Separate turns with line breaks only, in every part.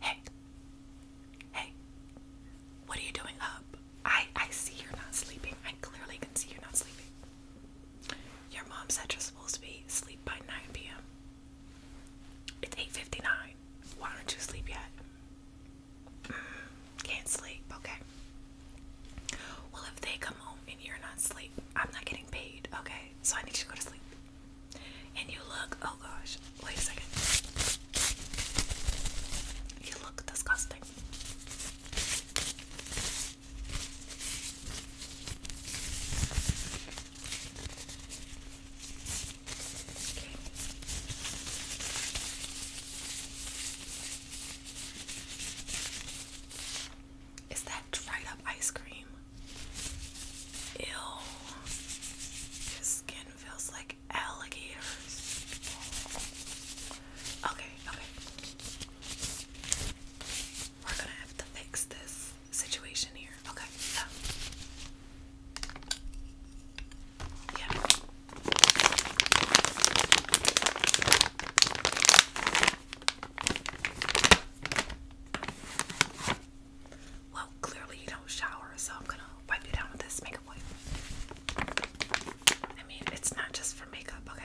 Hey, hey, what are you doing up? I I see you're not sleeping. I clearly can see you're not sleeping. Your mom said you're supposed to be sleep by 9 p.m. It's 8:59. Why don't you sleep yet? Mm, can't sleep. Okay. Well, if they come home and you're not asleep, I'm not getting paid. Okay, so I need you to go to sleep. And you look, oh gosh, wait a second. You look disgusting. Is that dried up ice cream? Ew. His skin feels like alligators. Okay, okay. We're gonna have to fix this situation here. Okay, Yeah. Well, clearly you don't shower, so I'm gonna wipe you down with this makeup wipe. I mean, it's not just for makeup, okay?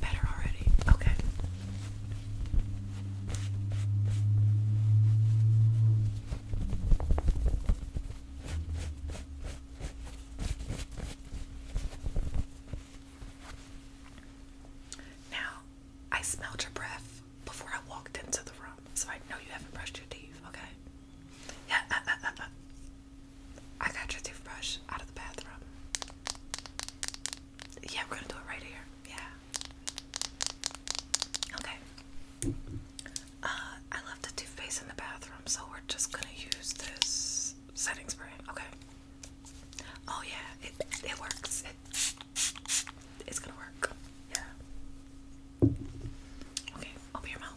Better already. Okay. Now, I smelled your breath before I walked into the room, so I know you haven't brushed your teeth, okay? Yeah, uh, uh, uh, I got your toothbrush out of the bathroom. Yeah, we're gonna do it right here. Yeah. Okay. Uh, I left the toothpaste in the bathroom, so we're just gonna use this setting spray. Okay. Oh yeah, it it works. it's gonna work. Yeah. Okay, open your mouth.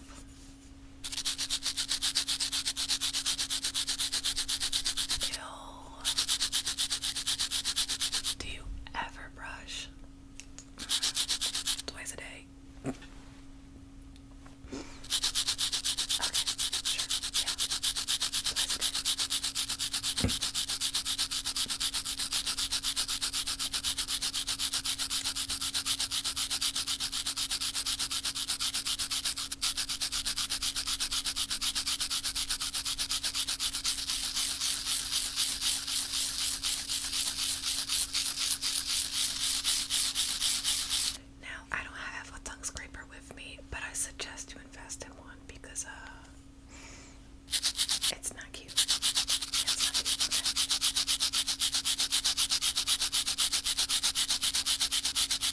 Do you ever brush? Twice a day. Okay, sure, now, I don't have a tongue scraper with me, but I suggest you invest in one because uh it's not cute. It's not cute. Okay.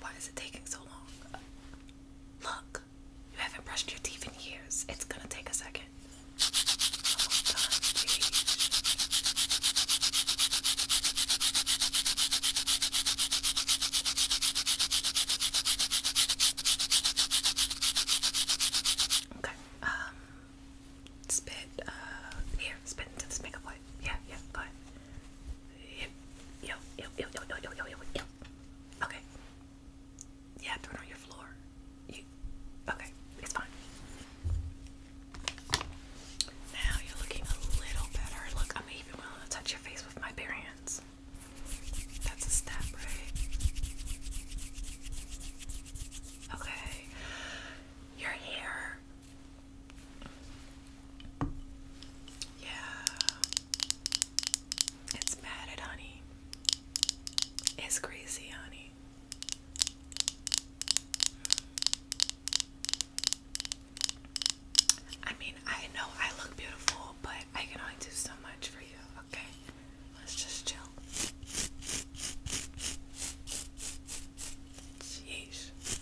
Why is it taking so long? Look, you haven't brushed your teeth in years. It's gonna take a second. Almost done, Okay, um, spit, uh, here, spit into this makeup wipe. Yeah, yeah, go ahead. Yep, yep, yep, yep, yep, yep, yep, yep, yep. Okay. Yeah, throw it on your floor. You, okay, it's fine. Now you're looking a little better. Look, I'm even willing to touch your face with my bare hands. That's a step, right? Okay. Your hair yeah. It's mad at honey. It's crazy, honey. I mean, I know I look beautiful, but I can only do so much for you, okay? Let's just chill. Jeez.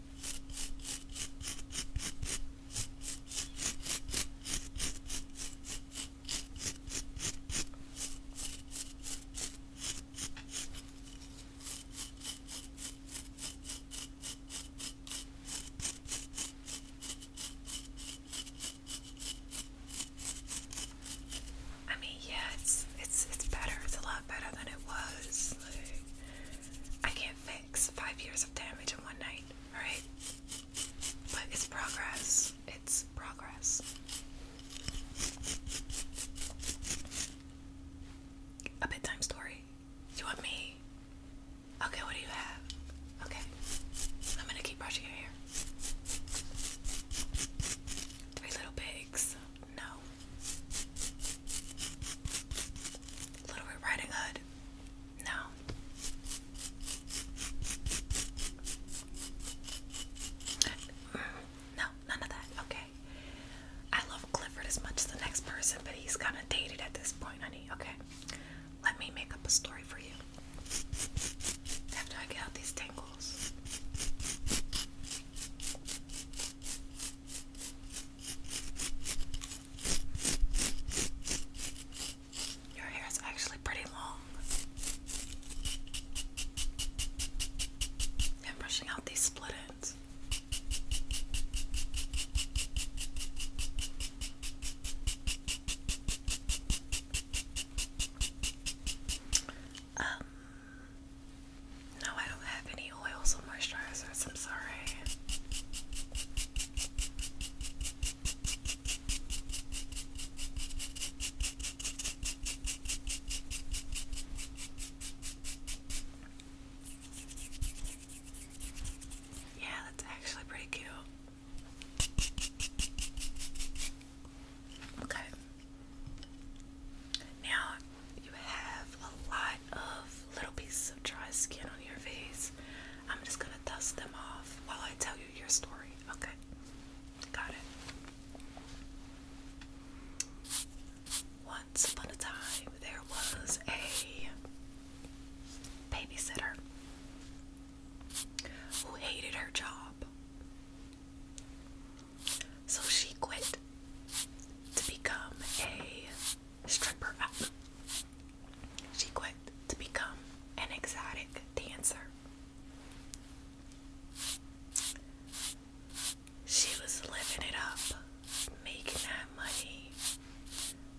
I mean, yeah, it's it's it's better. It's a lot better than it was. I can't five years of damage in one night, alright? But it's progress. It's progress. A bedtime story. You want me? Okay, what do you have? Okay. I'm gonna keep brushing your hair. Three little pigs. No. Little Red Riding Hood? No. Mm, no, none of that. Okay. I love Clifford as much as the next person, but he's kind of dated at this point, honey. Okay. Let me make up a story for you after I get out these tangles. Your hair is actually pretty long. I'm brushing out these split ends. Um, no, I don't have any oils and moisturizers. I'm sorry. Yeah, that's actually pretty cute. Okay. Now, you have a lot of little pieces of dry skin on your face. I'm just gonna dust them off while I tell you your story. Okay, got it. Once upon a time, there was a babysitter who hated her job. So she quit to become a stripper She quit to become an exotic dancer. She was living it up, making that money.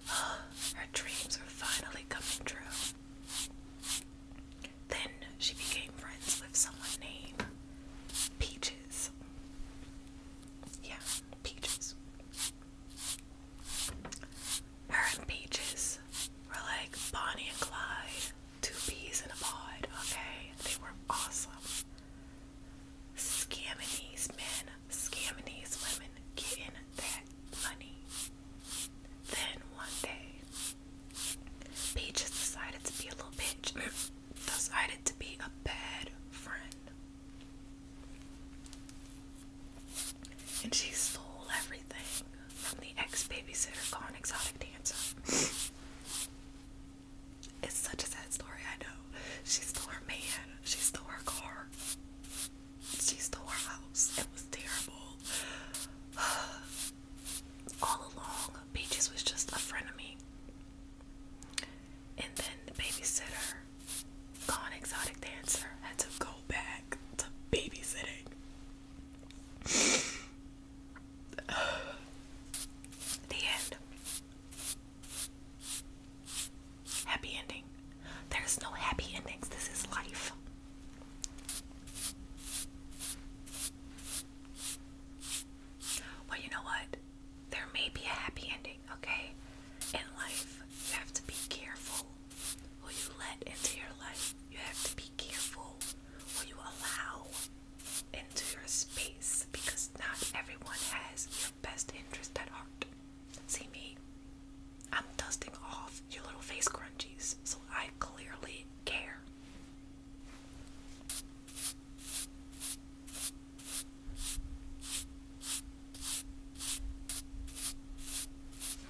her dreams were finally coming true. Then she became friends with someone named Peaches. Yeah, Peaches. Her and Peaches were like Bonnie and Clyde, two peas in a pod, okay? They were awesome. Scamming men, scamming these women, getting that money. Then one day, Peaches decided to be a little bitch, decided to be a bad friend. And she stole everything from the ex babysitter gone exotic dancer. It's such a sad story, I know. She stole her man, she stole her car, she stole her house. It was terrible. All along, Peaches was just a friend of me and then the babysitter, gone exotic dancer, had to go back to babysitting. the end. Happy ending. There's no happy endings. This is life. Well, you know what? there may be a happy ending, okay? In life, you have to be careful who you let into your life. You have to be careful who you allow into your space because not everyone has your best interest at heart. See me? I'm dusting off your little face crunchies, so I clearly care.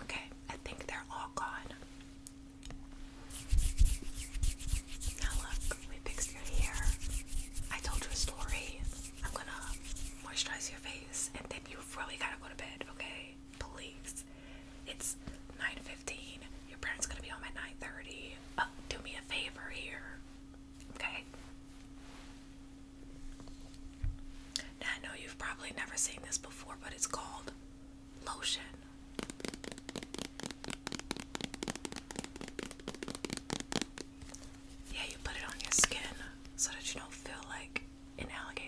Okay, I think they're all gone. Now look, we fixed your hair. I told you a story. I'm gonna moisturize your face and then you've really gotta go to bed, okay? Please. It's 9.15. Your parents gonna be home at 9.30. Uh, do me a favor here. Okay. Now I know you've probably never seen this before, but it's called lotion. Yeah, you put it on your skin so that you don't feel like an alligator.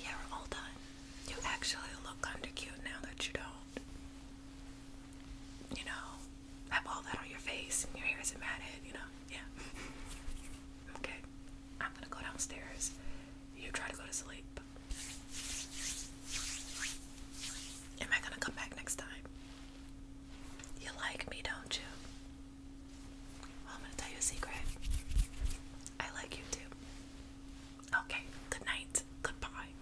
Yeah, we're all done. You actually look kinda cute now that you don't you know, have all that on your face and your hair isn't matted, you know? Yeah. okay. I'm gonna go downstairs. You try to go to sleep. Am I gonna come back next time? You like me, don't you? Well, I'm gonna tell you a secret. I like you too. Okay, good night. Goodbye.